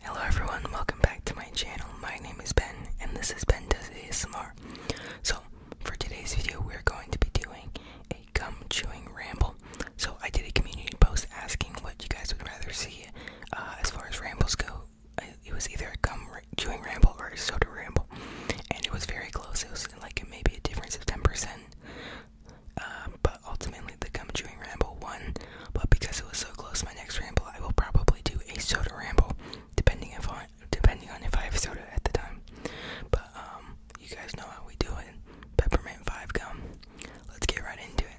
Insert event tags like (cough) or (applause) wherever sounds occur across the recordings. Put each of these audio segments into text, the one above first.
Hello everyone, welcome back to my channel. My name is Ben and this is Ben Does ASMR. So for today's video we're going to be doing a gum chewing ramble. So I did a community post asking what you guys would rather see uh, as far as rambles go. Uh, it was either a gum chewing ramble or a soda ramble and it was very close. It was like maybe a difference of 10%. Um, but ultimately, the gum chewing ramble won. But because it was so close, my next ramble, I will probably do a soda ramble, depending if on depending on if I have soda at the time. But um, you guys know how we do it. Peppermint five gum. Let's get right into it.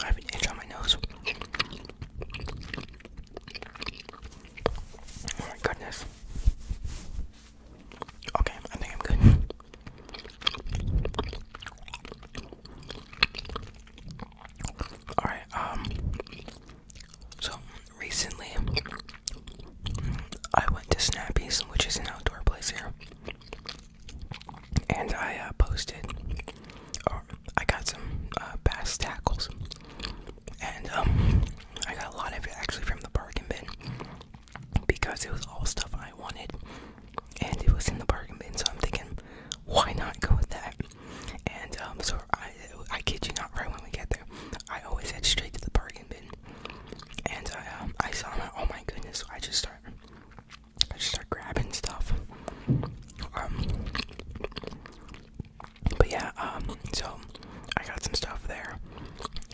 I have an itch on my nose. Oh my goodness. Okay, I think I'm good. Alright, um, so recently I went to Snappy's, which is an outdoor place here and I uh, posted, or I got some uh, bass tackles, and um, I got a lot of it actually from the bargain bin because it was all stuff I wanted, and it was in the bargain bin. So I'm thinking, why not go with that? And um, so I, I kid you not, right when we get there, I always head straight to the bargain bin, and I, uh, I saw it. Oh my goodness! I just start I just start grabbing stuff. Um, but yeah, um, so I got some stuff there,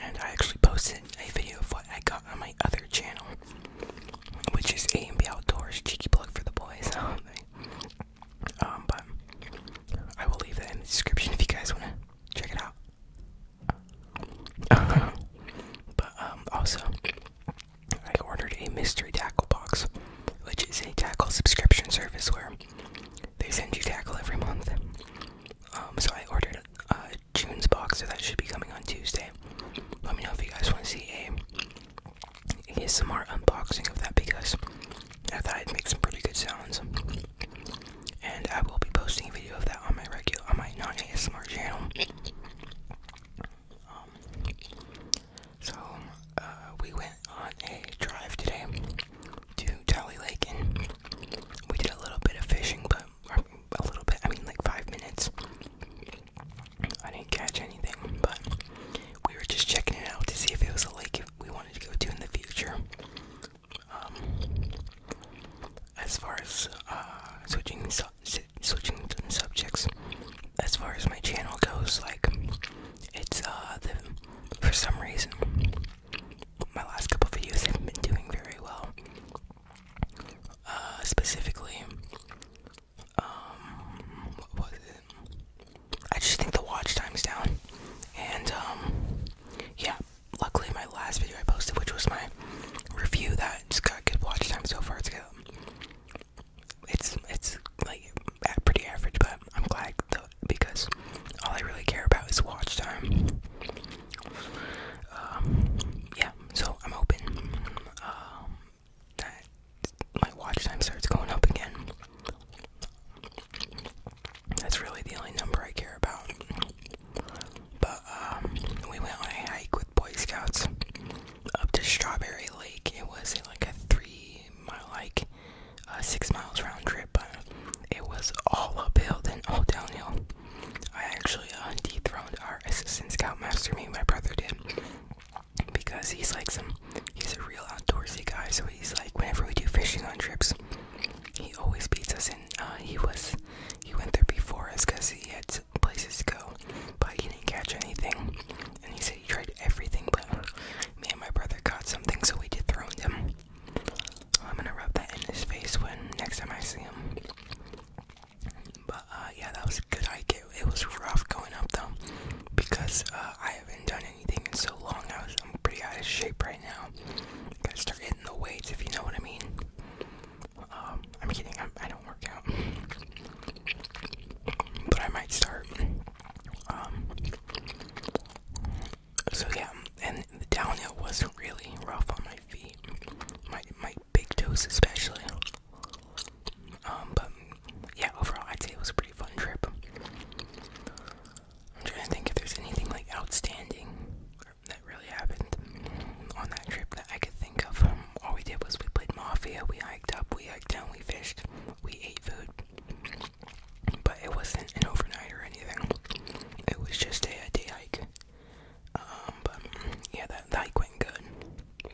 and I actually posted a video of what I got on my other channel, which is A and B Outdoors. Cheeky plug for the boys. (laughs) Um, but I will leave that in the description if you guys wanna check it out. (laughs) but also I ordered a mystery tackle box, which is a tackle subscription service where they send you tackle every month. Um, so I ordered uh, June's box, so that should be coming on Tuesday. Let me know if you guys want to see a ASMR unboxing of that because I thought I'd make some pretty good sounds. And I will be posting a video of that on my regular, on my non-ASMR channel. Um, so uh, we went on a drive today to Tally Lake, and we did a little bit of fishing, but a little bit. I mean, like five minutes. I didn't catch anything, but we were just checking it out to see if it was a lake we wanted to go to in the future. Um, as far as uh, switching switching subjects, as far as my channel goes, like it's uh, for some reason my last couple videos haven't been doing very well. Uh, specifically, um, what was it? I just think the watch time's down, and um, yeah, luckily my last video I posted, which was my review that's got good watch time so far, it's it's like pretty average, but I'm glad though, because all I really care about is watch time. Um, yeah, so I'm hoping um, that my watch time starts going up again. That's really the only number I care about. But um, we went on a hike with Boy Scouts up to Strawberry Lake. It was uh, like a three mile hike, uh, six miles round trip, but it was all uphill and all downhill. I actually uh, dethroned our assistant scoutmaster, me my brother did, because he's like some, he's a real outdoorsy guy. So he's like, whenever we do fishing on trips, he always beats us in. Uh, he was he went there before us because he had places to go, but he didn't catch anything. And he said he tried everything, but me and my brother caught something, so we dethroned him. I'm gonna rub that in his face when next time I see him. But uh, yeah, that was a good idea. It, it was rough going up though, because uh, I haven't done anything in so long. I was I'm pretty out of shape right now gotta start hitting the weights if you know what I mean. Um, I am kidding i do not work out. But I might start. Um, so yeah, and the downhill was really rough on my feet. My, my big toes especially. Um, but yeah, overall I'd say it was a pretty fun trip. I'm trying to think if there's anything like outstanding that really happened on that trip that I could think of. Um, all we did was we played Mafia, we hiked up, we hiked down, we fished, we ate food. But it wasn't an overnight or anything. It was just a, day hike. Um, but yeah, that, hike went good.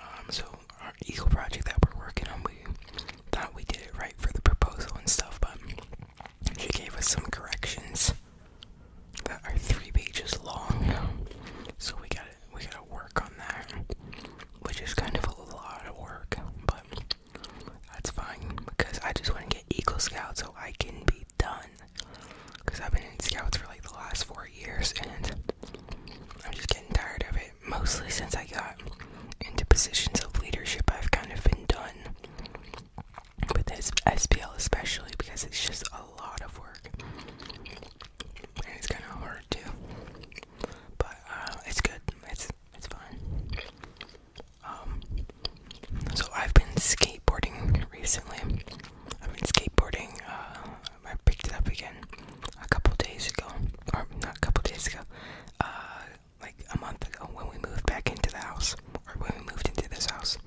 Um, so our Eagle project that we're working on, we thought we did it right for the proposal and stuff, but she gave us some corrections that are three pages long, so we got we got to work on that, which is kind of a lot of work, but that's fine because I just want to get Eagle Scout so I can be done. Because I've been in Scouts for like the last four years and I'm just getting tired of it, mostly since I got into positions of leadership, I've kind of been done with this SPL, especially because it's just a lot of work and it's kind of hard too. But uh, it's good. It's it's fine. Um, so I've been skateboarding recently. I've been skateboarding. Uh, I picked it up again a couple days ago, or not a couple days ago. Uh, like a month ago when we moved back into the house, or when we moved into this house.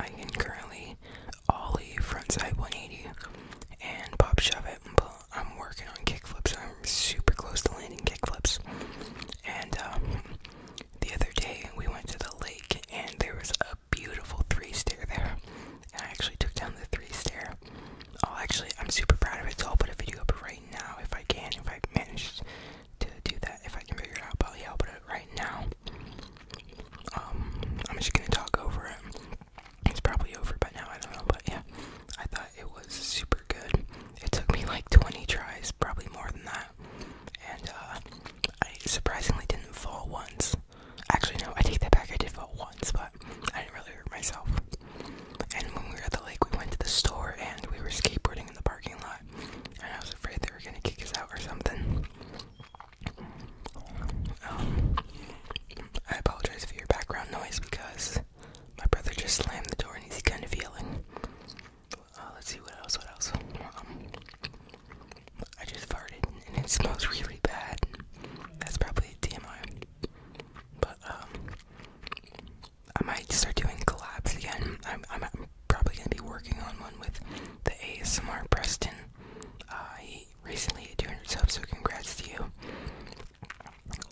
I can currently ollie frontside 180 and pop shove it, but I'm working on kickflips. I'm super close to landing kickflips. And um, the other day we went to the lake and there was a beautiful three stair there. I actually took down the three stair Oh, actually, I'm super proud of it, so I'll put a video up right now if I can, if I manage to do that, if I can figure it out. But yeah, I'll put it right now. Um, I'm just gonna talk over it. It's probably over by now, I don't know, but yeah, I thought it was super good. It took me like 20 tries, probably more than that. And, uh, I surprisingly didn't fall once. Actually, no, I take that back, I did fall once, but I didn't really hurt myself. And when we were at the lake, we went to the store and we were skateboarding in the parking lot. And I was afraid they were gonna kick us out or something. Um, I apologize for your background noise because my brother just slammed the door and he's kind of yelling. Uh, let's see what else. What else? Um, I just farted and it smells really bad. That's probably TMI. But um, I might start doing collabs again. I'm, I'm probably gonna be working on one with the ASMR Preston. Uh, he recently hit 200 subs, so congrats to you.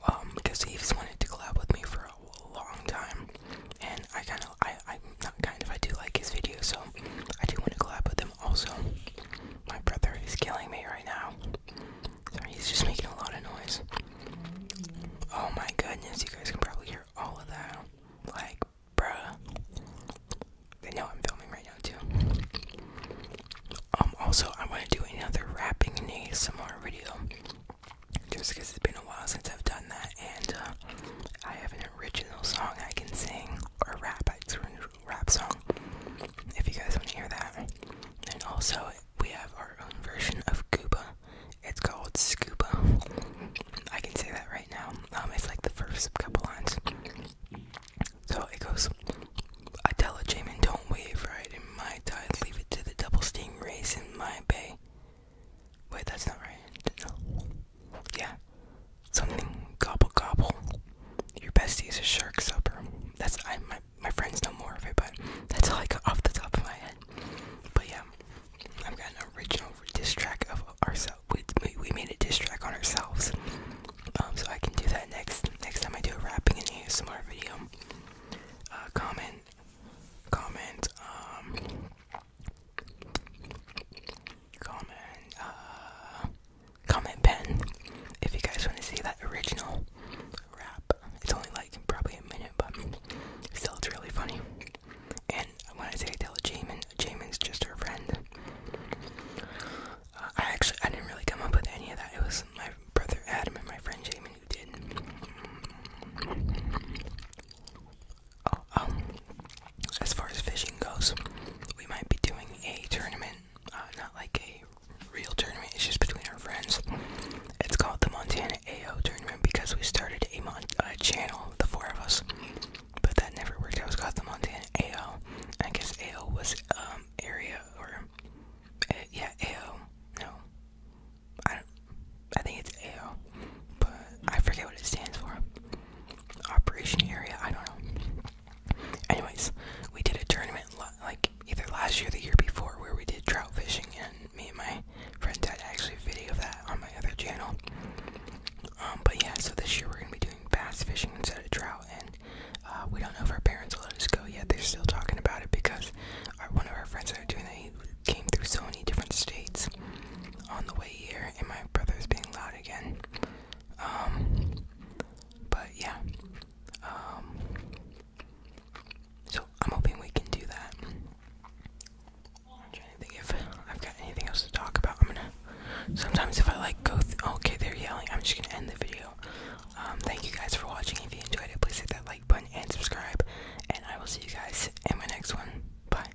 Um, because he's wanted to collab with me for a long time, and I kind of, I, I'm not kind of, I do like his videos, so I do want to collab with him also. My brother is killing me right now. Sorry, he's just making a lot of noise. Oh my goodness, you guys can probably hear all of that. Like, bruh. They know I'm filming right now too. Um, also, I want to do another rapping and ASMR video. Just because it's been a while since I've done that, and uh, I have an original song I can sing or rap. I sort rap song. If you guys want to hear that. And also, we have our own version of Gooba. It's called Scuba. I can say that right now. Um, it's like the first couple lines. So it goes. I tell a Jamin, don't wave right in my tide. Leave it to the double steam race in my bay. Wait, that's not right. Yeah something gobble gobble. Your bestie is a shark supper. That's I my my friends know more of it, but that's all I got off the top of my head. But yeah, I've got an original diss track of ourselves. We, we made a diss track on ourselves. Um, so I can do that next next time I do a rapping and ASMR video. Uh, comment, comment, um, comment. Uh, comment pen if you guys want to see that original rap. It's only like probably a minute, but still, it's really funny. And when I say I tell Jamin, Jamin's just her friend. Uh, I actually I didn't really come up with any of that. It was my brother Adam and my friend Jamin who did. Oh, um, as far as fishing goes, we might be doing a tournament, uh, not like a real tournament, it's just between our friends. It's called the Montana AO Tournament because we started a, mon channel, the four of us, but that never worked out. It was called the Montana AO. I guess AO was um, area or uh, yeah AO. No, I I think it's AO, but I forget what it stands for operation area. I don't know. Anyways, we did a tournament like either last year, the year before, where we did trout fishing, and me and my friends had actually a video of that on my other channel. Um, but yeah, so this year we're gonna be doing bass fishing instead of trout, and uh, we don't know if our parents will let us go yet. They're still talking about it because our, one of our friends that are doing that he came through so many different states on the way here, and my brother's being loud again. Um, but yeah. Um, so I'm hoping we can do that. trying to think if I've got anything else to talk about. Sometimes if I like go. okay, they're yelling. I'm just gonna end the video. Um, thank you guys for watching. If you enjoyed it, please hit that like button and subscribe. And I will see you guys in my next one. Bye.